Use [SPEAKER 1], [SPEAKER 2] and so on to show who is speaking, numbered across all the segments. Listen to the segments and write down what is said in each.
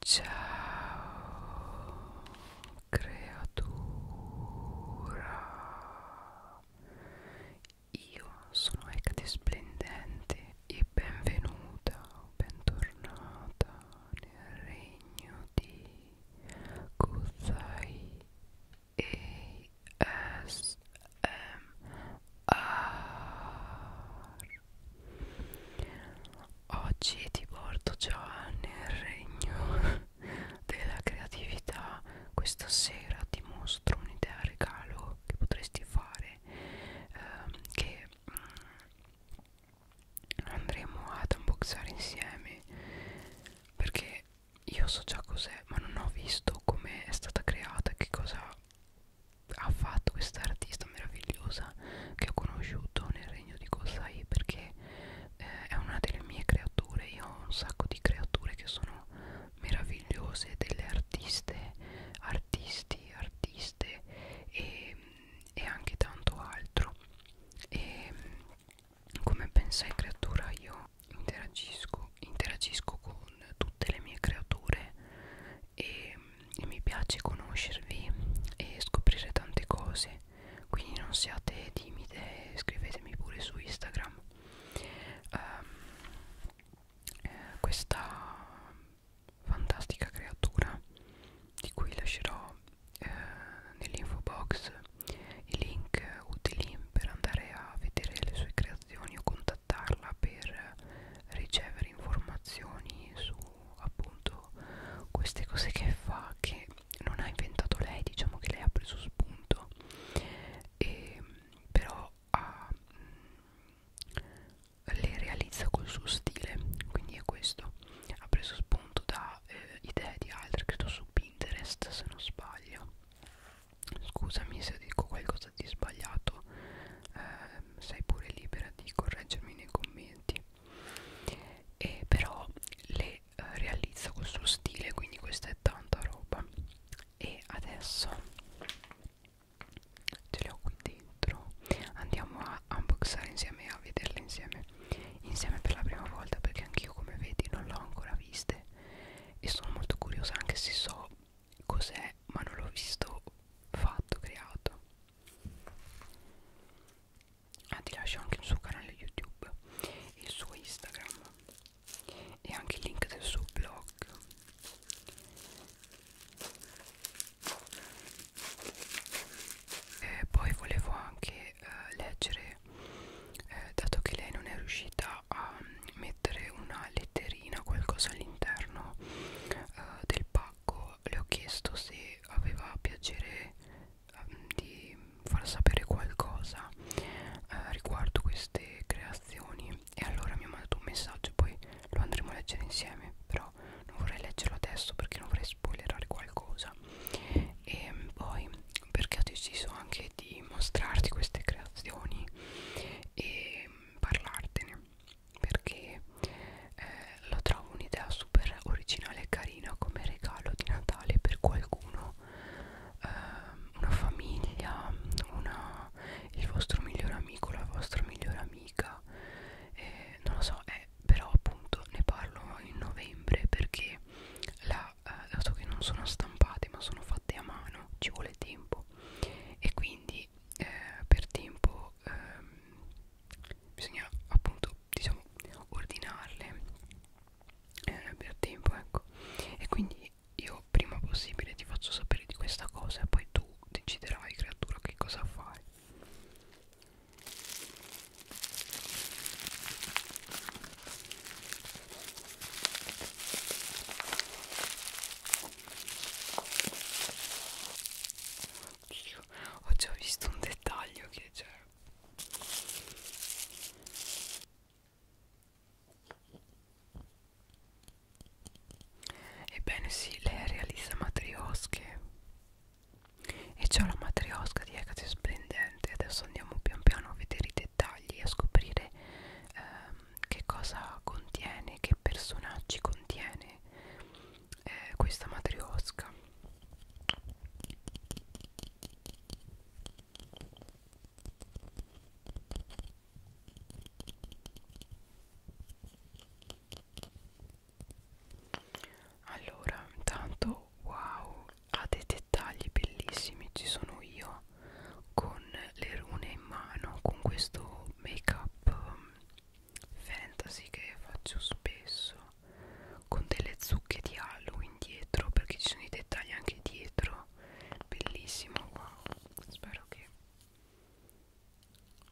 [SPEAKER 1] Ciao creatura Io sono Ecate Splendente e benvenuta, bentornata nel regno di Kuzai Oggi ti porto già nel regno della creatività. Questa sera ti mostro un'idea regalo che potresti fare. Ehm, che mm, andremo ad unboxare insieme perché io so già cos'è ma non ho visto come è stata creata che cosa ha fatto questa artista meravigliosa che ho conosciuto nel regno di Kosai perché eh, è una delle mie creature io ho un sacco di creature che sono meravigliose delle artiste artisti artiste e, e anche tanto altro e come pensai creatura io interagisco interagisco con tutte le mie creature e e mi piace conoscervi e scoprire tante cose quindi non siate timide scrivetemi pure su Instagram um, eh, questa fantastica creatura di cui lascerò eh, nell'info box i link utili per andare a vedere le sue creazioni o contattarla per ricevere informazioni su appunto queste cose che fa che non ha inventato lei diciamo che lei ha preso spunto e, però ha, mm, le realizza col suo stile quindi è questo ha preso spunto da eh, idee di altri credo su Pinterest se non sbaglio scusami se dico qualcosa qualcosa di sbagliato eh, sei pure libera di correggermi nei commenti e però le eh, realizza col suo stile quindi questa è tanta roba e adesso ce le ho qui dentro andiamo a unboxare insieme a vederle insieme insieme per la prima volta perché anch'io come vedi non l'ho ancora viste e sono molto curiosa anche se so cos'è ma non l'ho visto fatto, creato ah ti lascio anche il suo canale youtube il suo instagram e anche il link del suo blog e poi volevo anche eh, leggere eh, dato che lei non è riuscita a mettere una letterina qualcosa all'interno eh, del pack Sacco le ho chiesto se aveva piacere um, di far sapere qualcosa uh, riguardo queste creazioni e allora mi ha mandato un messaggio poi lo andremo a leggere insieme però non vorrei leggerlo adesso perché non vorrei spoilerare qualcosa e mm, poi perché ho deciso anche di mostrarti queste creazioni e mm, parlartene perché eh, lo trovo un'idea super originale e carina come regalo di Natale per qualcuno eh, una famiglia una, il vostro miglior amico la vostra migliore amica eh, non lo so eh, però appunto ne parlo in novembre perché la, eh, dato che non sono stampate ma sono fatte a mano ci vuole tempo e quindi eh, per tempo ehm, bisogna appunto diciamo ordinarle eh, per tempo ecco e quindi io prima possibile ti faccio sapere di questa cosa e poi tu deciderai creatura che cosa fai Oddio, ho già visto un dettaglio che c'è Ebbene sì, lei realizza matriosche e c'è una matriosca di Hecate splendente adesso andiamo pian piano a vedere i dettagli e a scoprire ehm, che cosa contiene, che personaggi contiene eh, questa matriosca allora intanto wow ha dei dettagli bellissimi ci sono io con con le rune in mano con questo make up um, fantasy che faccio spesso con delle zucche di Halloween dietro perché ci sono i dettagli anche dietro bellissimo wow spero che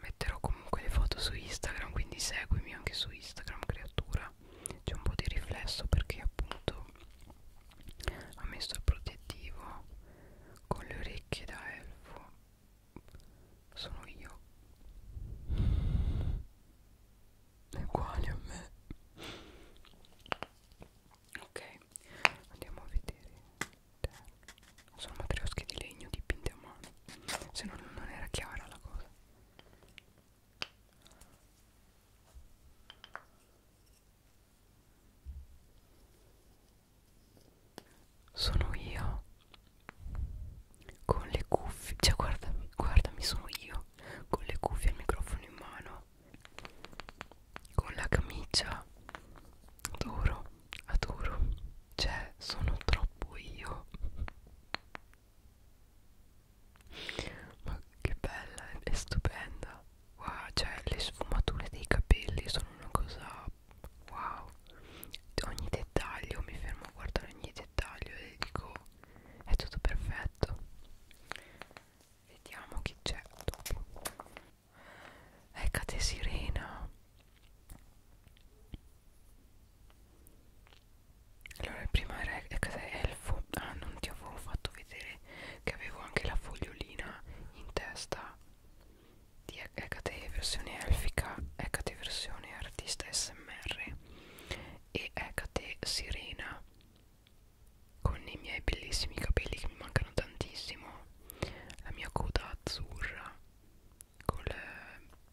[SPEAKER 1] metterò comunque le foto su Instagram quindi seguimi anche su Instagram creatura c'è un po' di riflesso perché appunto ha messo il protettivo con le orecchie da elfo sono io è uguale a me ok andiamo a vedere sono matriosche di legno dipinte a mano se no non era chiara la cosa sono io con le cuffie cioè guardami guardami sono io con le cuffie e il microfono in mano con la camicia adoro adoro cioè sono troppo io ma che bella è stupenda wow, cioè le sfumature dei capelli sono una cosa wow ogni dettaglio mi fermo a guardare ogni dettaglio e dico è tutto perfetto vediamo chi c'è dopo è ecco, Cate Sirena allora il primo era eh, è Elfo ah non ti avevo fatto vedere che avevo anche la fogliolina in testa di HT versione elfica, HT versione artista smr e HT sirena con i miei bellissimi capelli che mi mancano tantissimo la mia coda azzurra col,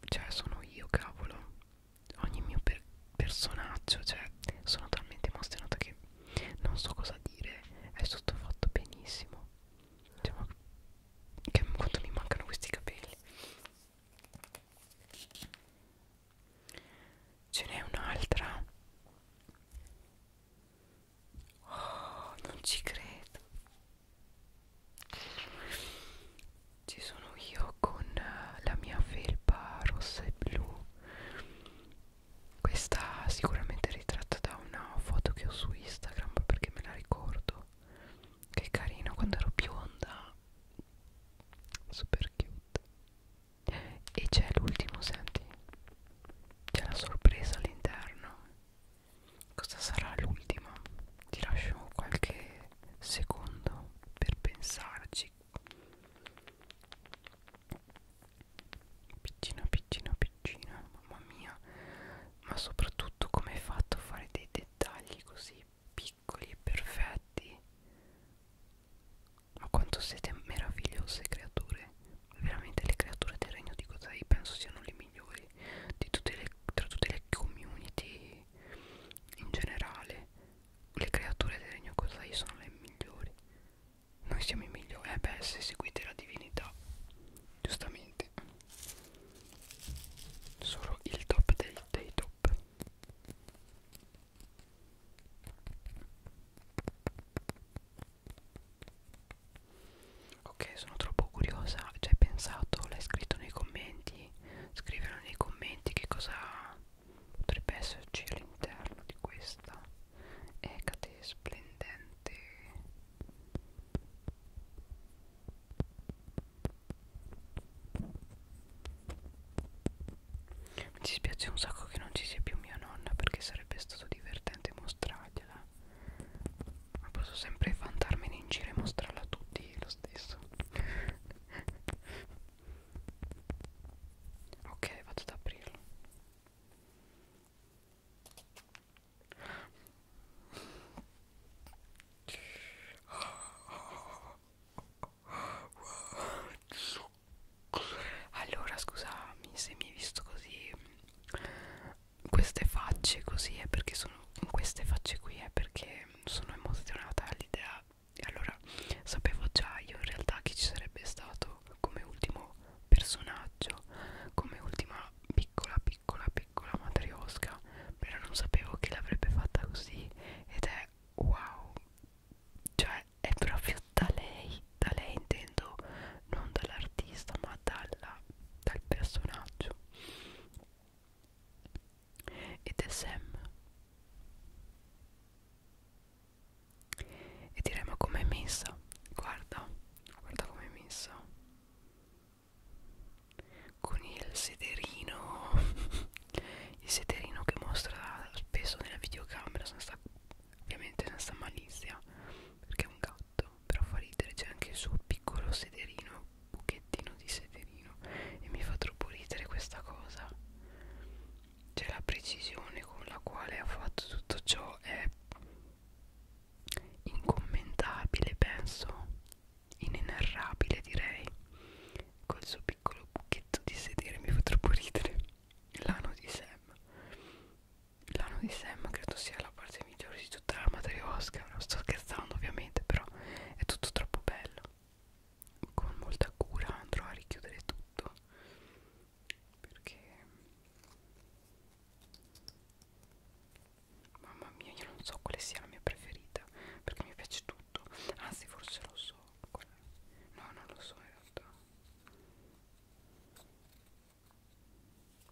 [SPEAKER 1] cioè sono io cavolo ogni mio per personaggio cioè sono talmente emozionata che non so cosa dire è tutto fatto benissimo no cioè, ma che, quanto mi mancano questi capelli ce n'è un'altra oh non ci credo ci sono io con la mia felpa rossa e blu questa sicuramente è ritratta da una foto che ho su Instagram perché me la ricordo. Che carino, quando ero bionda. Super cute. E c'è l'ultimo, senti. C'è la sorpresa all'interno. Cosa sarà l'ultimo? Ti lascio qualche secondo per pensarci piccina piccina piccina mamma mia ma soprattutto come hai fatto a fare dei dettagli così piccoli e perfetti ma quanto siete meravigliose creature veramente le creature del regno di Godai penso siano le migliori di tutte le, tra tutte le community in generale le creature del regno Godai sono le migliori noi siamo i migliori eh beh se seguite la divinità giustamente solo il top dei, dei top ok sono troppo curiosa ci cioè, hai pensato l'hai scritto nei commenti scrivelo nei commenti che cosa potrebbe esserci all'interno di questa e eh, brillante, splendente mi dispiace un sacco che non ci sia più mia nonna perché sarebbe stato divertente mostrargliela ma posso sempre vantarmene in giro e mostrarla a tutti lo stesso ok vado ad aprirlo allora scusami se mi hai visto così queste facce così è eh, perché sono queste facce qui è eh, perché sono emozionata all'idea e allora sapevo già io in realtà che ci sarebbe stato ultimo come ultimo personaggio come ultima piccola piccola piccola matriosca però non sapevo che l'avrebbe fatta così ed è wow cioè è proprio da lei da lei intendo non dall'artista ma dalla, dal personaggio ed è Sam e direi ma com'è messa guarda guarda com'è messa con il sederino il sederino che mostra spesso nella videocamera senza, ovviamente senza malizia perché è un gatto però fa ridere c'è anche il suo piccolo sederino buchettino di sederino e mi fa troppo ridere questa cosa cioè la precisione con la quale ha fatto tutto ciò è incommentabile penso inenerrabile direi col suo piccolo buchetto di sedere mi fa troppo ridere l'ano di Sam l'ano di Sam credo sia la parte migliore di tutta la matriosca non sto scherzando ovviamente però è tutto troppo bello con molta cura andrò a richiudere tutto perché mamma mia io non so quale sia la mia preferita perché mi piace tutto anzi forse lo so qual è. no non lo so in realtà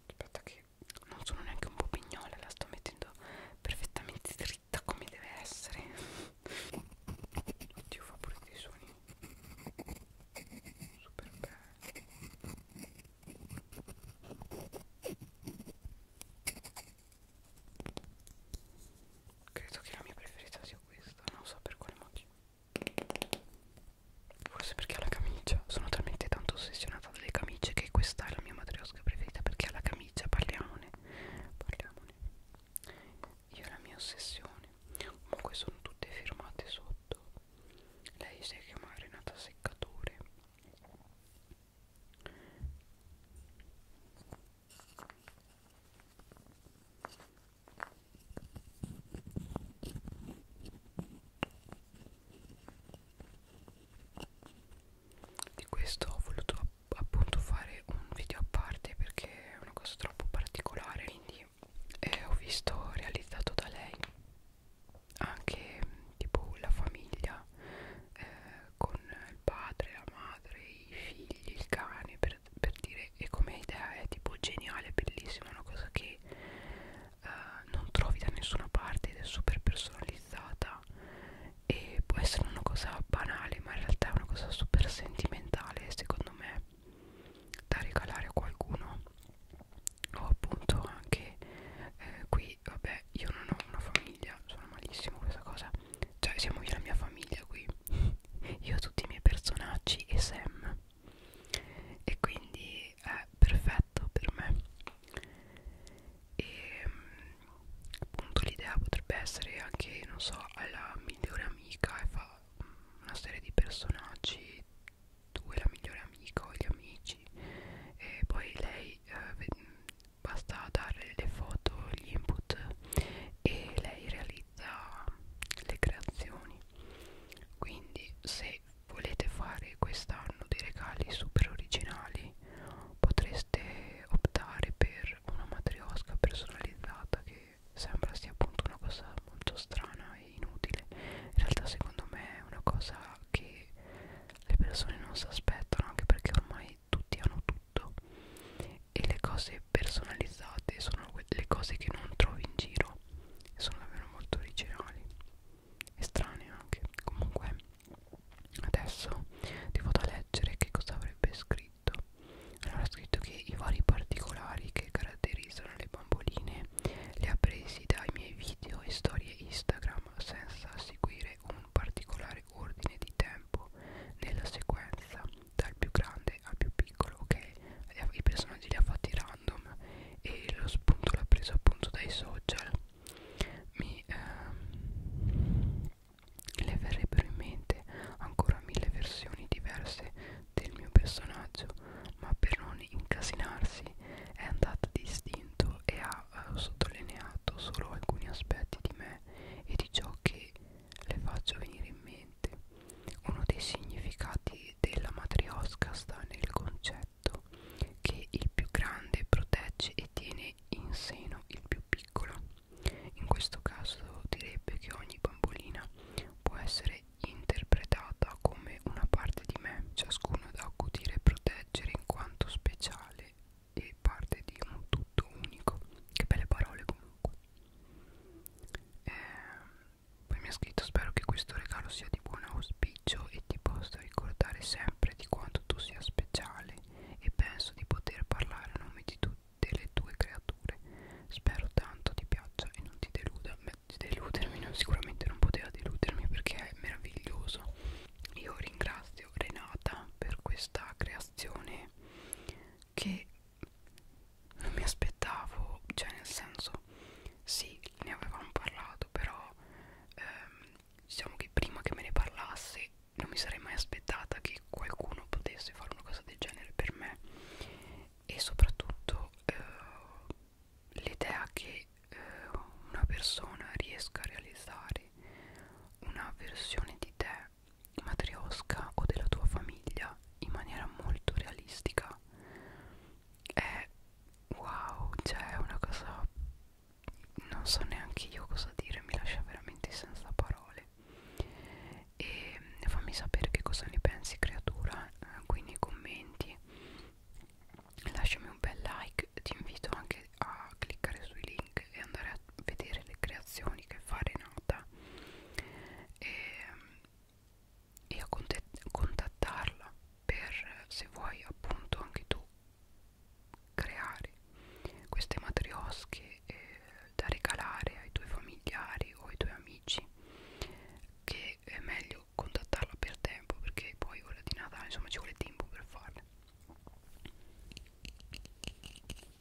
[SPEAKER 1] aspetta che non sono neanche un po' pignola la sto mettendo perfettamente dritta come deve essere oddio fa pure dei suoni super bello credo che la mia preferita sia questa non so per quale motivo forse perché ha la camicia sono talmente tanto ossessionata dalle camicie che questa è la mia matriosca preferita perché ha la camicia parliamone parliamone io e la mia ossessione comunque sono tutte firmate sotto lei si chiama Renata Seccatore di questo ho voluto app appunto fare un video a parte perché è una cosa troppo particolare quindi eh, ho visto realizzato da lei anche tipo la famiglia eh, con il padre, la madre, i figli, il cane per, per dire e come idea è tipo geniale, bellissima, una cosa che eh, non trovi da nessuna parte ed è super personalizzata e può essere una cosa banale ma in realtà è una cosa super sentimentale secondo me da regalare a qualcuno o appunto anche eh, qui vabbè io non ho una famiglia sono malissimo questa cosa cioè siamo io e la mia famiglia qui io ho tutti i miei personaggi e Sam e quindi è perfetto per me e ehm, appunto l'idea potrebbe essere anche non so alla migliore amica e fa una serie di personaggi tu e la migliore amica o gli amici e poi lei eh, basta dare le foto gli input e lei realizza le creazioni quindi se volete fare quest'anno dei regali super originali potreste optare per una matriosca personalizzata che che sembra sia appunto una cosa molto strana e inutile in realtà secondo me è una cosa che le persone non si aspettano anche perché ormai tutti hanno tutto e le cose personalizzate sono le cose che non trovi in giro e sono davvero molto originali e strane anche comunque adesso ti vado a leggere che cosa avrebbe scritto scritto allora ha scritto che i vari particolari che caratterizzano le bamboline li ha presi dai miei video e storie Instagram senza seguire un particolare ordine di tempo nella sequenza dal più grande al più piccolo ok i personaggi li ha fatti random e lo spunto l'ha preso appunto dai social mi ehm, le verrebbero in mente ancora mille versioni diverse del mio personaggio, ma per non incasinarsi è andata di istinto e ha eh, sottolineato solo alcuni aspetti di me e di ciò che le faccio venire in mente. Uno dei significati della matriosca sta nel concetto che il più grande protegge e tiene in seno il più piccolo piccola. In questo caso direbbe che ogni bambolina può essere interpretata come una parte di me, ciascuno da accudire e proteggere in quanto speciale e parte di un tutto unico. Che belle parole comunque. Eh, poi mi ha scritto spero che questo regalo sia di buon auspicio e ti possa ricordare sempre di quanto tu sia speciale e penso di poter parlare a nome di tutti delle tue creature. Spero tanto ti piaccia e non ti deluda. Beh, di deludermi no, sicuramente non poteva deludermi perché è meraviglioso. Io ringrazio Renata per questa creazione che non mi aspettavo, cioè nel senso sì, ne avevamo parlato, però ehm, diciamo che prima che me ne parlasse non mi sarei mai aspettata che qualcuno potesse fare una cosa del genere per me e soprattutto eh, l'idea che eh, una persona riesca a realizzare una versione di te matriosca o della tua famiglia in maniera molto realistica è wow cioè una cosa non so neanche io cosa dire mi lascia veramente senza parole e fammi sapere che cosa ne pensi creatura eh, qui nei commenti lasciami un bel like ti invito anche a cliccare sui link e andare a vedere le creazioni che fa Renata e, e a contattarla per se vuoi appunto anche tu creare queste matriosche e da regalare ai tuoi familiari o ai tuoi amici che è meglio contattarla per tempo perché poi ora di Natale insomma ci vuole tempo per farle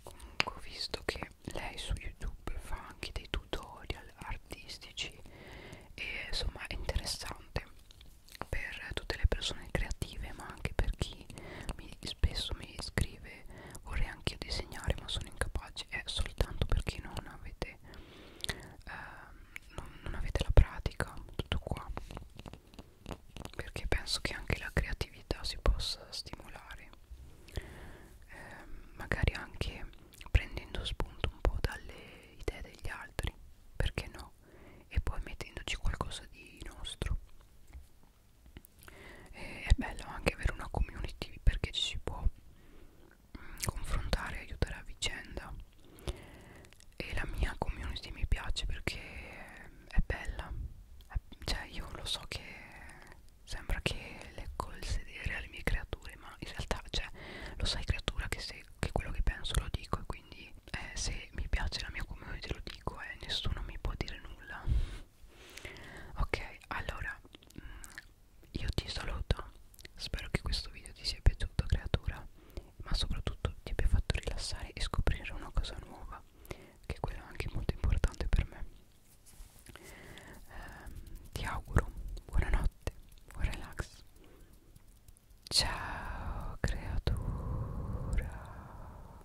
[SPEAKER 1] comunque ho visto che lei su youtube fa anche dei tutorial artistici e insomma è interessante per tutte le persone creative ma anche per chi mi, spesso mi scrive breve vorrei anche io disegnare ma sono incapace è soltanto perché non avete eh, non, non avete la pratica tutto qua perché penso che anche la creatività si possa stimolare eh, magari anche prendendo spunto un po' dalle idee degli altri perché no e poi mettendoci qualcosa di nostro e è bello anche avere una community perché ci si può mm, confrontare e aiutare a vicenda e la mia community mi piace perché è bella cioè io lo so che sembra che leggo il sedere alle mie creature ma in realtà cioè lo sai creatura che, se, che quello che penso lo dico e quindi eh, se mi piace la mia community lo dico e eh, nessuno mi può dire nulla ok allora mm, io ti saluto spero che questo video ti sia piaciuto creatura ma soprattutto ti abbia fatto rilassare e scoprire una cosa nuova che quello è anche molto importante per me eh, ti auguro buonanotte buon relax ciao creatura